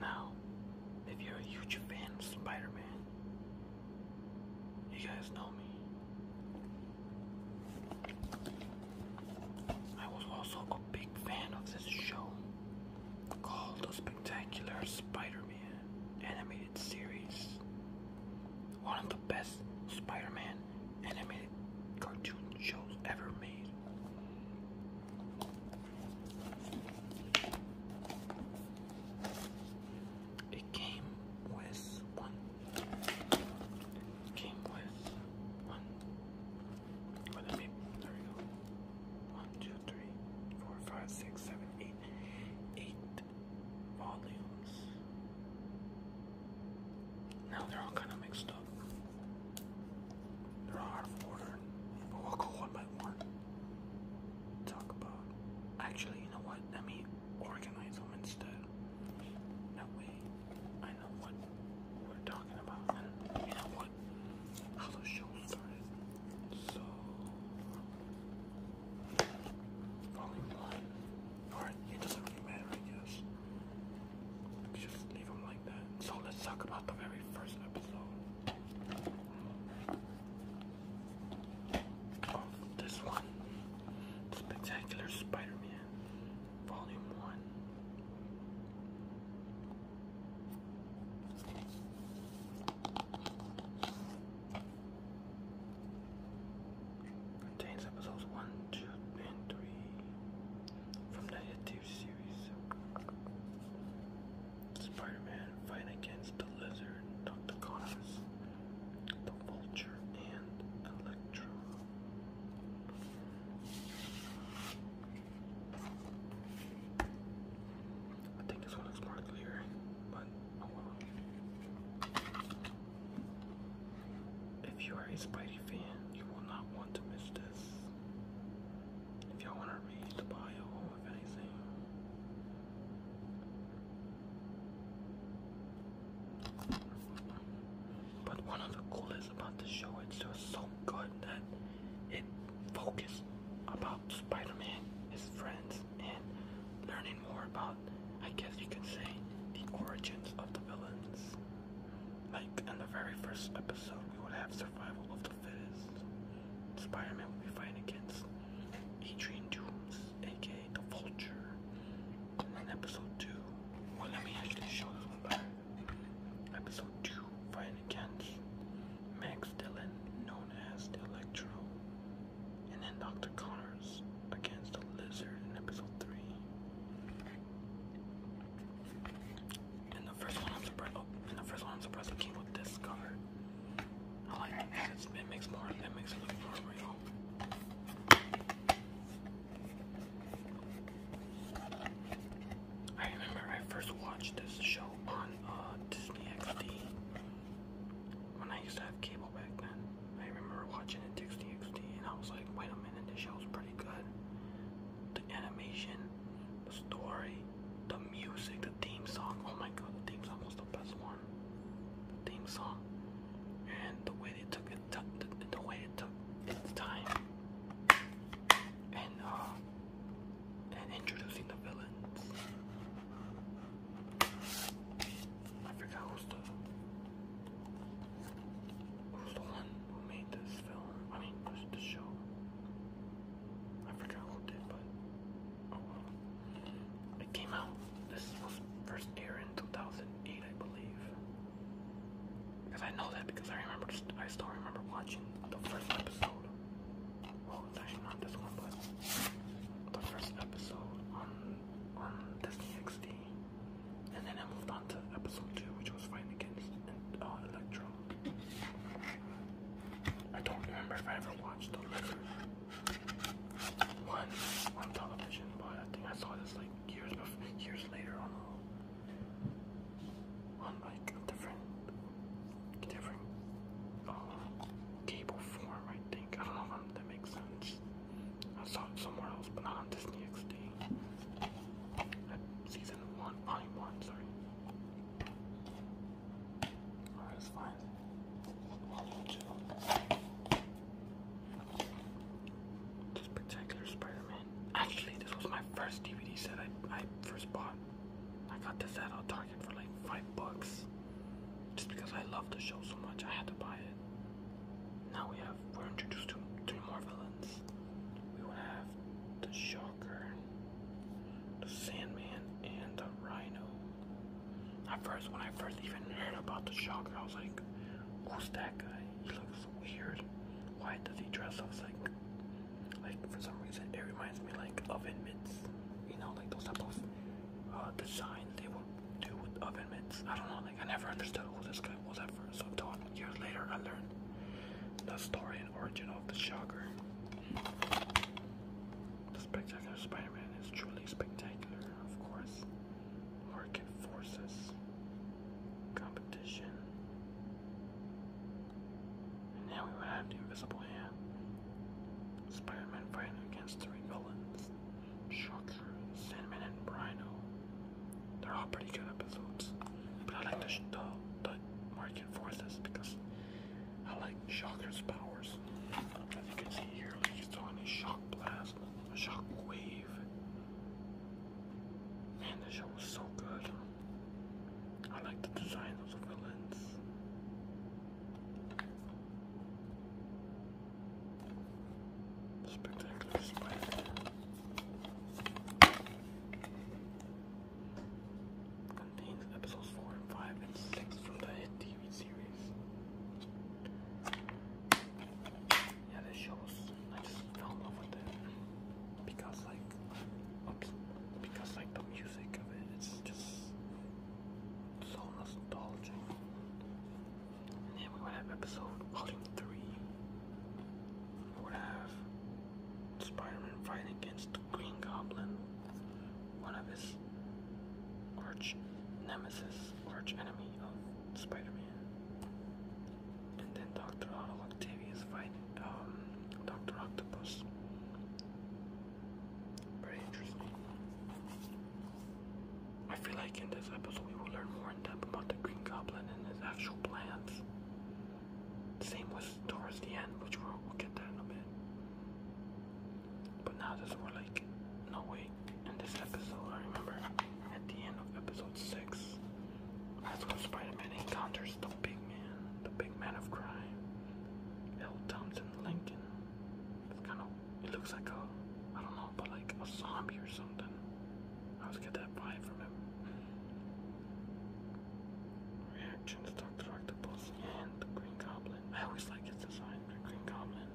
Now, if you're a huge fan of Spider Man, you guys know me. I was also a big fan of this show called The Spectacular Spider Man Animated Series. One of the best Spider Man animated cartoon shows ever made. It came with one. It came with one. Well, let me, there we go. One, two, three, four, five, six, seven, eight. Eight volumes. Now they're all kind of mixed up. They're out of order. But we'll go one by one talk about. Actually, you know what? Let me organize them instead. That way, I know what we're talking about. you know what? How the show started. So, falling blind. Alright, it doesn't really matter, I Just leave them like that. So let's talk about the very first episode of oh, this one Spectacular Spider Man, Volume 1. Contains episodes 1, 2, and 3 from the Spider-Man fight against the Lizard, Dr. Connors, the Vulture, and Electro. I think this one looks more clear, but oh If you are a Spidey fan, you will not want to miss this. If y'all want to read the bio, if anything. But one of the coolest about the show, it's just so good that it focused about Spider-Man, his friends, and learning more about, I guess you could say, the origins of the villains. Like in the very first episode, we would have survival of Spider-Man will be fighting against Adrian Dooms, aka the Vulture, in episode two. Well, let me actually show this one Episode two, fighting against Max Dillon, known as the Electro, and then Dr. Connors against the Lizard in episode three. And the first one I'm surprised. Oh, and the first one I'm surprised it came with this cover. I like it. it makes more. It makes it look more real. I remember I first watched this show on uh, Disney XD when I used to have cable back then. I remember watching it Disney XD, and I was like, "Wait a minute, this show's pretty good." the animation, the story, the music, the theme song. Oh my god, the theme song was the best one. The theme song, and the way they took it, the, the way it took its time, uh, and introducing the villains. I forgot who's the who's the one who made this film. I mean, this the show. I forgot who did, but oh, It came out. This was first aired in 2008, I believe. Because I know that because I remember. I still remember watching the first episode. Well, it's actually not this one, but the first episode on on Disney XD, and then I moved on to episode two, which was fighting against uh, Electro. I don't remember if I ever watched the letter on television, but I think I saw this like years years later on on like a different different uh, cable form. I think I don't know if that makes sense. I saw it somewhere else, but not on Disney XD. Season one, volume one, sorry. Alright, that's fine. Volume two. Spider-Man. Actually, this was my first DVD set I, I first bought. I got this at a Target for like five bucks. Just because I love the show so much, I had to buy it. Now we have we're introduced to three more villains. We will have the Shocker, the Sandman, and the Rhino. At first, when I first even heard about the Shocker, I was like, "Who's that guy? He looks weird. Why does he dress up like?" Like for some reason, it reminds me like oven mitts, you know, like those type of uh, designs they will do with oven mitts. I don't know, like I never understood who this guy was at first So I'm talking. Years later, I learned the story and origin of the Shocker. The Spectacular Spider-Man is truly spectacular, of course. Market forces, competition. And now we have the Invisible Hand. Spider-Man fighting against three villains. Shocker, Sandman, and Rhino. They're all pretty good episodes, but I like the the, the Mark Forces because I like Shocker's powers. As you can see here, like he's throwing a shock blast, a shock wave. Man, this show was so good. I like the design of the villains. Spectacular Contains episodes 4, 5, and 6 from the hit TV series. Yeah, this shows, I just fell in love with it. Because, like, oops, because, like, the music of it, it's just so nostalgic. And then we have episode 3. I would have spider fighting against the Green Goblin, one of his arch nemesis, arch enemy of spider And then Dr. Octavius fighting um, Dr. Octopus. Very interesting. I feel like in this episode we will learn more about the Green Goblin and his actual plans. Same was towards the end, which we'll, get that in a bit. But now this we like, no way. in this episode, I remember at the end of episode 6, that's when Spider-Man encounters the big man, the big man of crime, L. Thompson Lincoln. It's kind of, it looks like a, I don't know, but like a zombie or something. I was getting that vibe from him. Reactions, Dr. Octopus and the Green Goblin. I always like his design, the Green Goblin.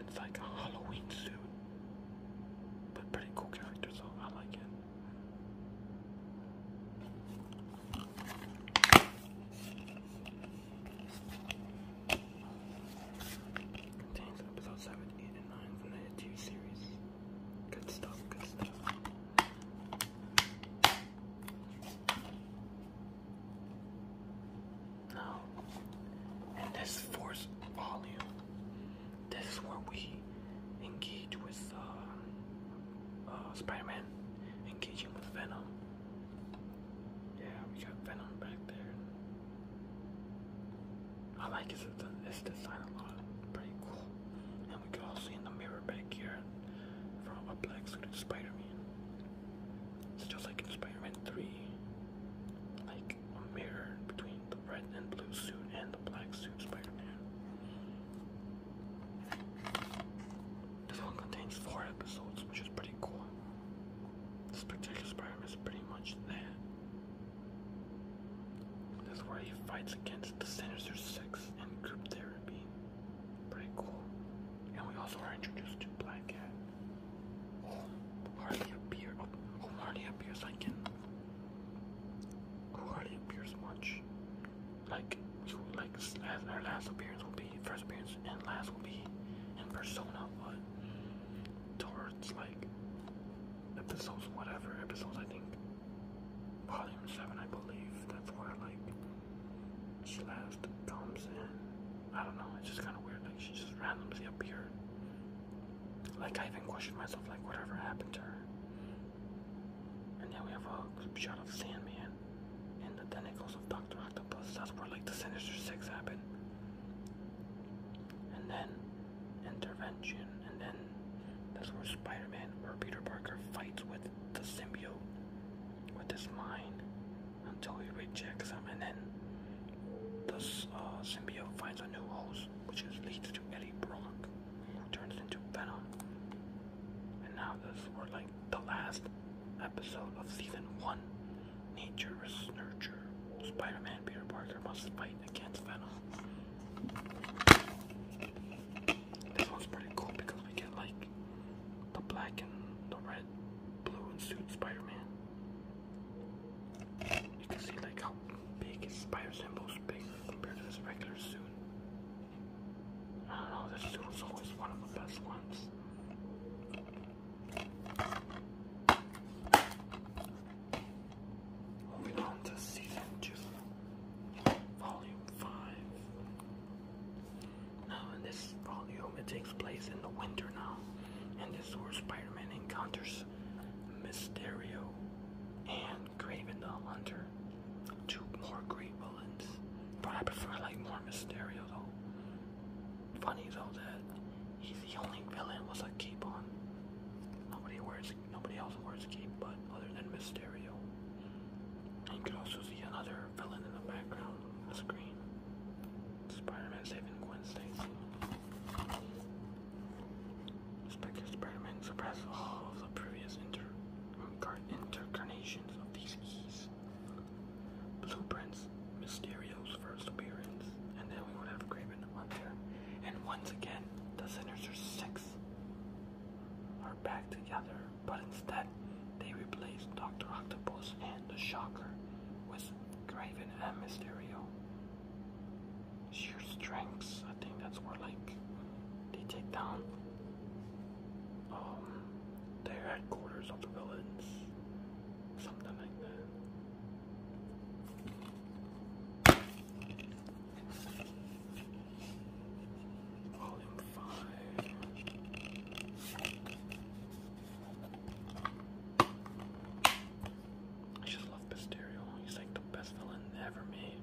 It's like a Halloween suit. But pretty cool character, so I like it. Contains episode 7, and nine from the Hit 2 series. Good stuff, good stuff. Now, in this fourth volume, this is where we engage with uh, uh Spider Man, engaging with Venom. Yeah, we got Venom back there. I like this, this design a lot. Pretty cool. And we can also see in the mirror back here from a black suit Spider-Man. It's just like in Spider-Man 3. Like a mirror between the red and blue suit and the black suit Spider-Man. This one contains four episodes, which is pretty cool. Spectacular Spider-Man is pretty much there. This is where he fights against the Sinister Six and group therapy. Pretty cool. And we also are introduced to Black Cat, who oh, hardly appear, who oh, oh, hardly appears like who hardly appears much. Like, you, like as our last appearance will be, first appearance and last will be in Persona, but towards like episodes, whatever episodes, I think volume 7, I believe. That's where, like, she last comes in. I don't know, it's just kind of weird. Like, she just randomly appeared. Like, I even questioned myself, like, whatever happened to her. And then we have a shot of Sandman and the tentacles of Dr. Octopus. That's where, like, the Sinister Six happened and then intervention, and then that's where Spider-Man or Peter Parker fights with the symbiote with his mind until he rejects him, and then this uh, symbiote finds a new host, which leads to Eddie Brock, who turns into Venom. And now this is like the last episode of season one nature nurture. Spider-Man Peter Parker must fight against Venom. This one's pretty cool because we get like the black and the red, blue and suit Spider-Man. You can see like how big his spider symbol's big compared to his regular suit. I don't know, this suit was always one of the best ones. Moving on to season two, volume five. Now, in this volume, it takes place in the winter now, and this is where Spider Man encounters Mysterio and Craven the Hunter. Two more great villains, but I prefer like more Mysterio though funny though that he's the only villain with a cape on. Nobody wears, nobody else wears a cape, but other than Mysterio. you can also see another villain in the background screen. Spider-Man saving Gwen Stacy. Spectre Spider-Man suppressed all of the previous inter incarnations of these Blueprints Mysterio's first appearance, and then we would have Craven the there, And once again, the Sinister Six are back together, but instead they replace Doctor Octopus and the Shocker with Craven and Mysterio. Sheer strengths, I think that's where like they take down um their headquarters of the villains. Something like that. He's like the best villain ever made,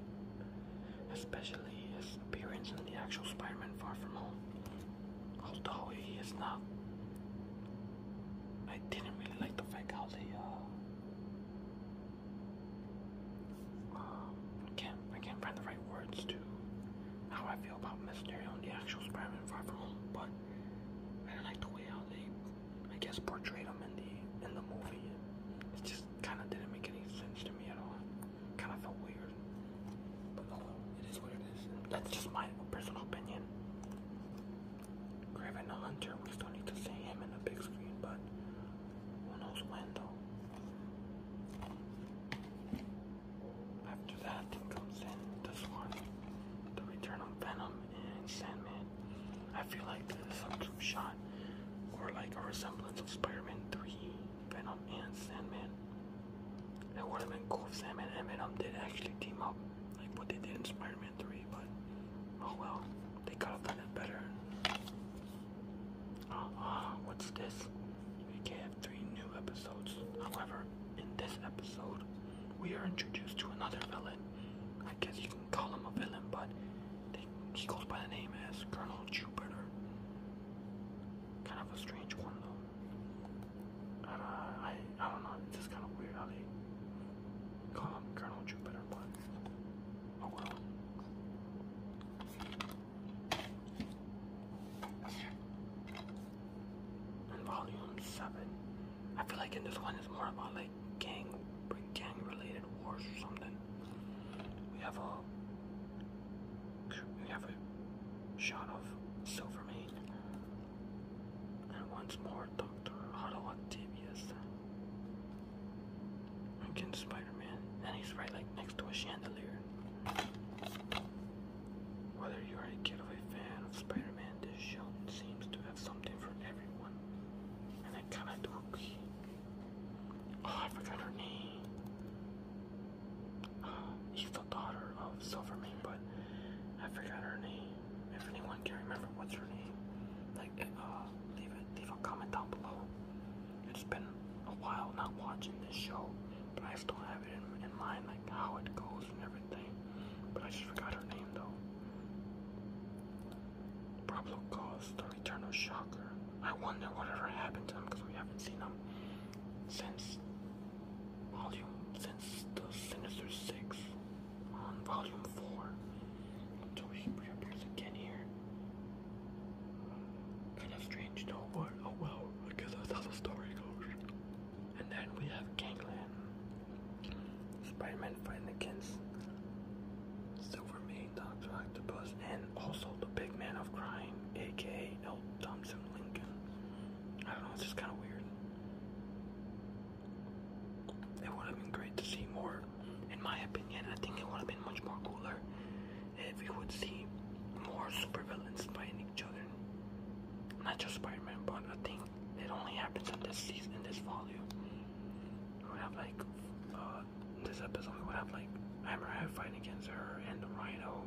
especially his appearance in the actual Spider-Man Far From Home although he is not. I didn't really like the fact how they uh, um, I can't I can't find the right words to how I feel about Mysterio and the actual Spider-Man Far From Home, but I didn't like the way how they I guess portrayed him in the in the movie. It just kind of didn't make any sense to me at all. Kind of felt weird, but oh it is what it is. That's just my personal opinion. Craven Hunter, we still need to see him in the big screen, but who knows when though. After that, comes in this one The Return of Venom and Sandman. I feel like this is some true shot or like a resemblance of Spider Man 3, Venom, and Sandman. It would have been cool if Sandman and Venom did actually team up like what they did in Spider-Man 3, but oh well, they could have done it better. Uh, what's this? We can three new episodes. However, in this episode, we are introduced to another villain. I guess you can call him a villain, but they, he goes by the name as Colonel Jupiter. Kind of a strange one though. Uh, I, I, don't know, it's just kind of weird how call him Colonel Jupiter, oh well. volume 7, I feel like in this one it's more about like gang, gang related wars or something. We have a we have a shot of Silvermane and once more, Dr. Otto Octavius. Again, Spider-Man. And he's right like next to a chandelier. Whether you're a kid of a fan of Spider-Man, this show seems to have something for everyone. And I kinda do agree. Oh, I forgot her name she's the daughter of Silvermane, but I forgot her name. If anyone can remember what's her name, like uh, leave it, leave a comment down below. It's been a while not watching this show, but I still have it in, mind, like how it goes and everything. But I just forgot her name though. Pablo caused the return Shocker. I wonder whatever happened to him because we haven't seen him since volume since the Sinister Six on volume four until he reappears again here. Kind of strange, no what? Oh well, because that's how the story goes. And then we have Gangland. Spider-Man fighting against Silver Maid, Doctor Octopus, and also the big man of crime, aka L. Thompson Lincoln. I don't know, it's just kind of weird. It would have been great to see more, in my opinion. I think it would have been much more cooler if we would see more supervillains fighting each other. Not just Spider-Man, but I think it only happens in this season, in this volume. We would have like, uh, this episode we would have like Hammerhead fighting against her and Rhino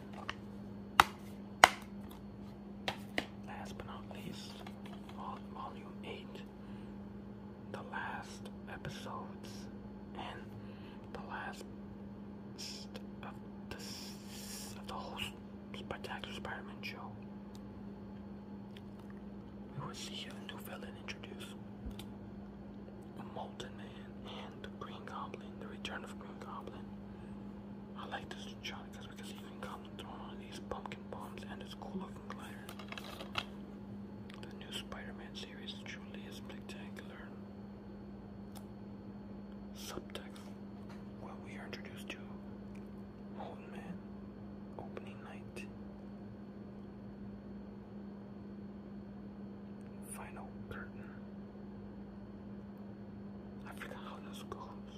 Last but not least, volume 8, the last episodes, and the last of the, of whole Spectacular Spider Man show. We will see a new villain introduced a Molten and the Green Goblin, the Return of Green Goblin. I like this shot because Green Goblin throwing on these pumpkin bombs and his cool-looking The new Spider-Man series truly is spectacular. Subtext: When we are introduced to Molten Man, opening night. Final curtain. I forgot how this goes.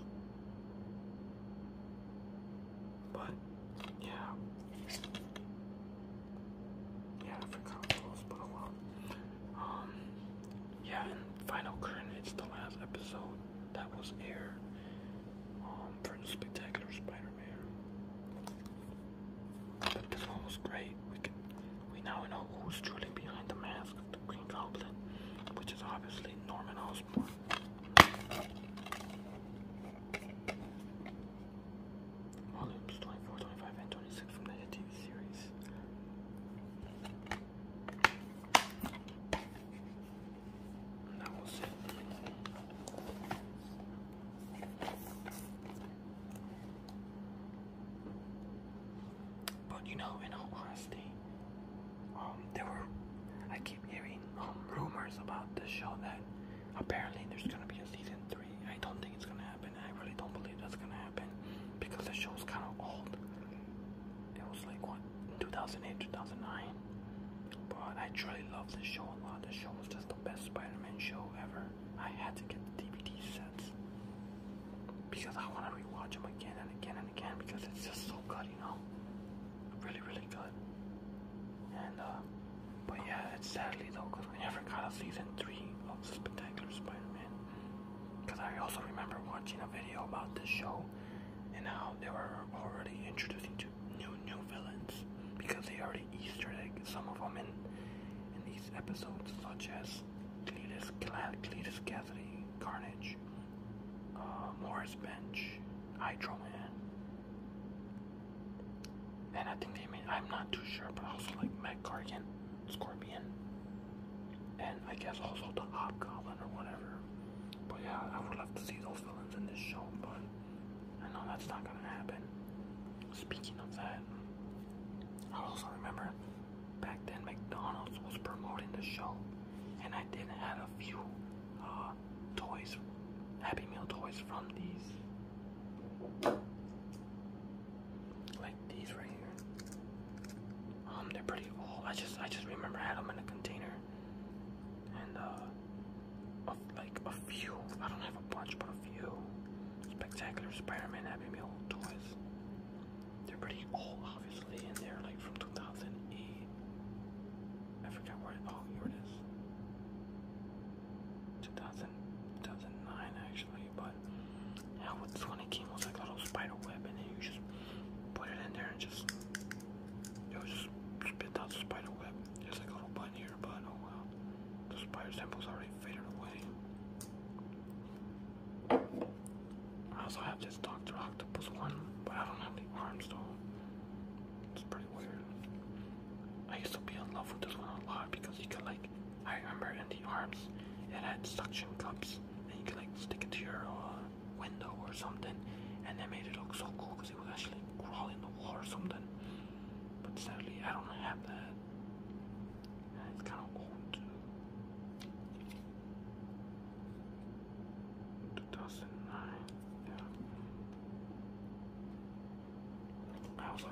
But, yeah. Yeah, I forgot how it goes, but oh Um, yeah, and Final Carnage, the last episode that was aired um, for the Spectacular Spider-Man. This one was great. We can, we now know who's truly behind the mask of the Green Goblin, which is obviously Norman Osborn. 24, 25, and 26 from the TV series. that was it. But you know, in all honesty, um, there were I keep hearing um, rumors about this show that apparently there's gonna be a season three. I don't think it's gonna happen. I really don't believe that's gonna happen because the show's kind of old. It was like what 2008, 2009. But I truly love this show a lot. This show was just the best Spider-Man show ever. I had to get the DVD sets because I want to rewatch them again and again and again because it's just so good, you know, really, really good. And uh, but yeah, it's sadly though because we never got a season three of Spectacular Spider-Man. Because I also remember watching a video about this show and how they were already introducing to new new villains because they already. Easter egg, some of them in in these episodes, such as Cletus, Cletus Cassidy, Carnage, uh, Morris Bench, Hydro Man, and I think they made, I'm not too sure, but I also like Matt Cargan, Scorpion, and I guess also the Hobgoblin or whatever. But yeah, I would love to see those villains in this show, but I know that's not gonna happen. Speaking of that, I also remember back then McDonald's was promoting the show, and I did had a few uh, toys, Happy Meal toys from these, like these right here. Um, they're pretty old. I just I just remember I had them in a container, and uh, a, like a few. I don't have a bunch, but few Spectacular Spider-Man Happy Meal toys. They're pretty old, obviously, and they're like from 2008. I forgot where it, oh, here it is. 2000, 2009 actually, but yeah, with this one like a little spider web and then you just put it in there and just, you know, just spit out the spider web. There's like a little button but oh well. The spider temple's already faded away. I also have this Dr. Octopus one, but I don't have the arms though. It's pretty weird. I used to be in love with this one a lot because you could like, I remember in the arms, it had suction cups and you could like stick it to your uh, window or something and that made it look so cool because it was actually crawling the wall or something. But sadly, I don't have that. It's kind of old. Two thousand nine. Yeah. I also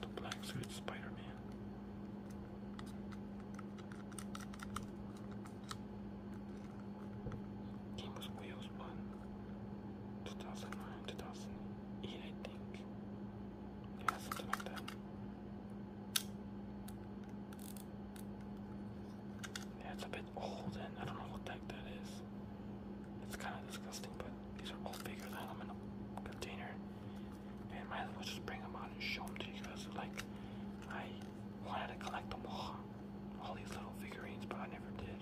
the black suit Spider-Man. Game was Wheels 1, 2009, 2008, I think. Yeah, something like that. Yeah, it's a bit old and I don't know what the that is. It's kind of disgusting, but these are all bigger than them in a container. And might as well just bring them out and show them to you guys. Like, I wanted to collect them all all these little figurines, but I never did.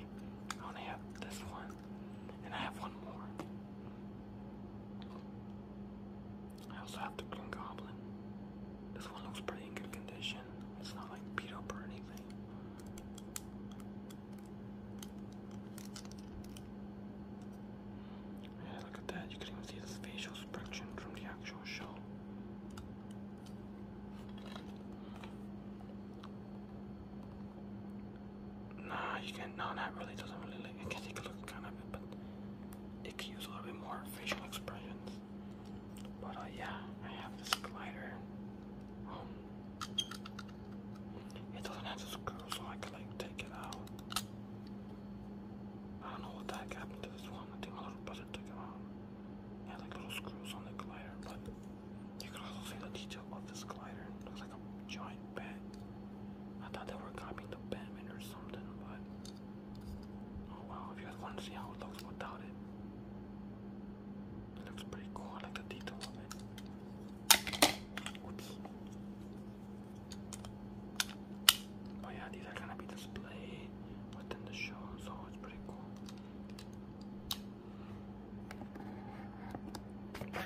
I only have this one, and I have one more. I also have the Green Goblin. This one looks pretty in good condition. It's not like beat up or anything. Yeah, look at that. You can even see this facial expression from the actual show. Nah, you can. No, that really doesn't really. It can take a look kind of but it can use a little bit more facial expressions. But uh, yeah, I have this glider. Um, it doesn't have the screw, so I can like take it out. I don't know what the happened to this one. I think my little brother took it out. It had little screws on the glider, but. You can also see the detail of this glider. It looks like a giant bat. I thought they were copying the Batman or something, but oh wow! If you guys want to see how it looks without it, looks pretty cool. like the detail of it. Oops. Oh yeah, these are gonna be displayed within the show, so it's pretty cool.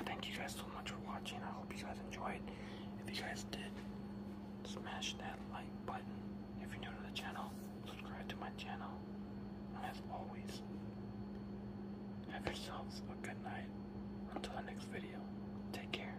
Thank you guys so much for watching. I hope you guys enjoyed. If you guys did, smash that like button. If you're new to the channel, subscribe to my channel. And as always, have yourselves a good night. Until the next video, take care.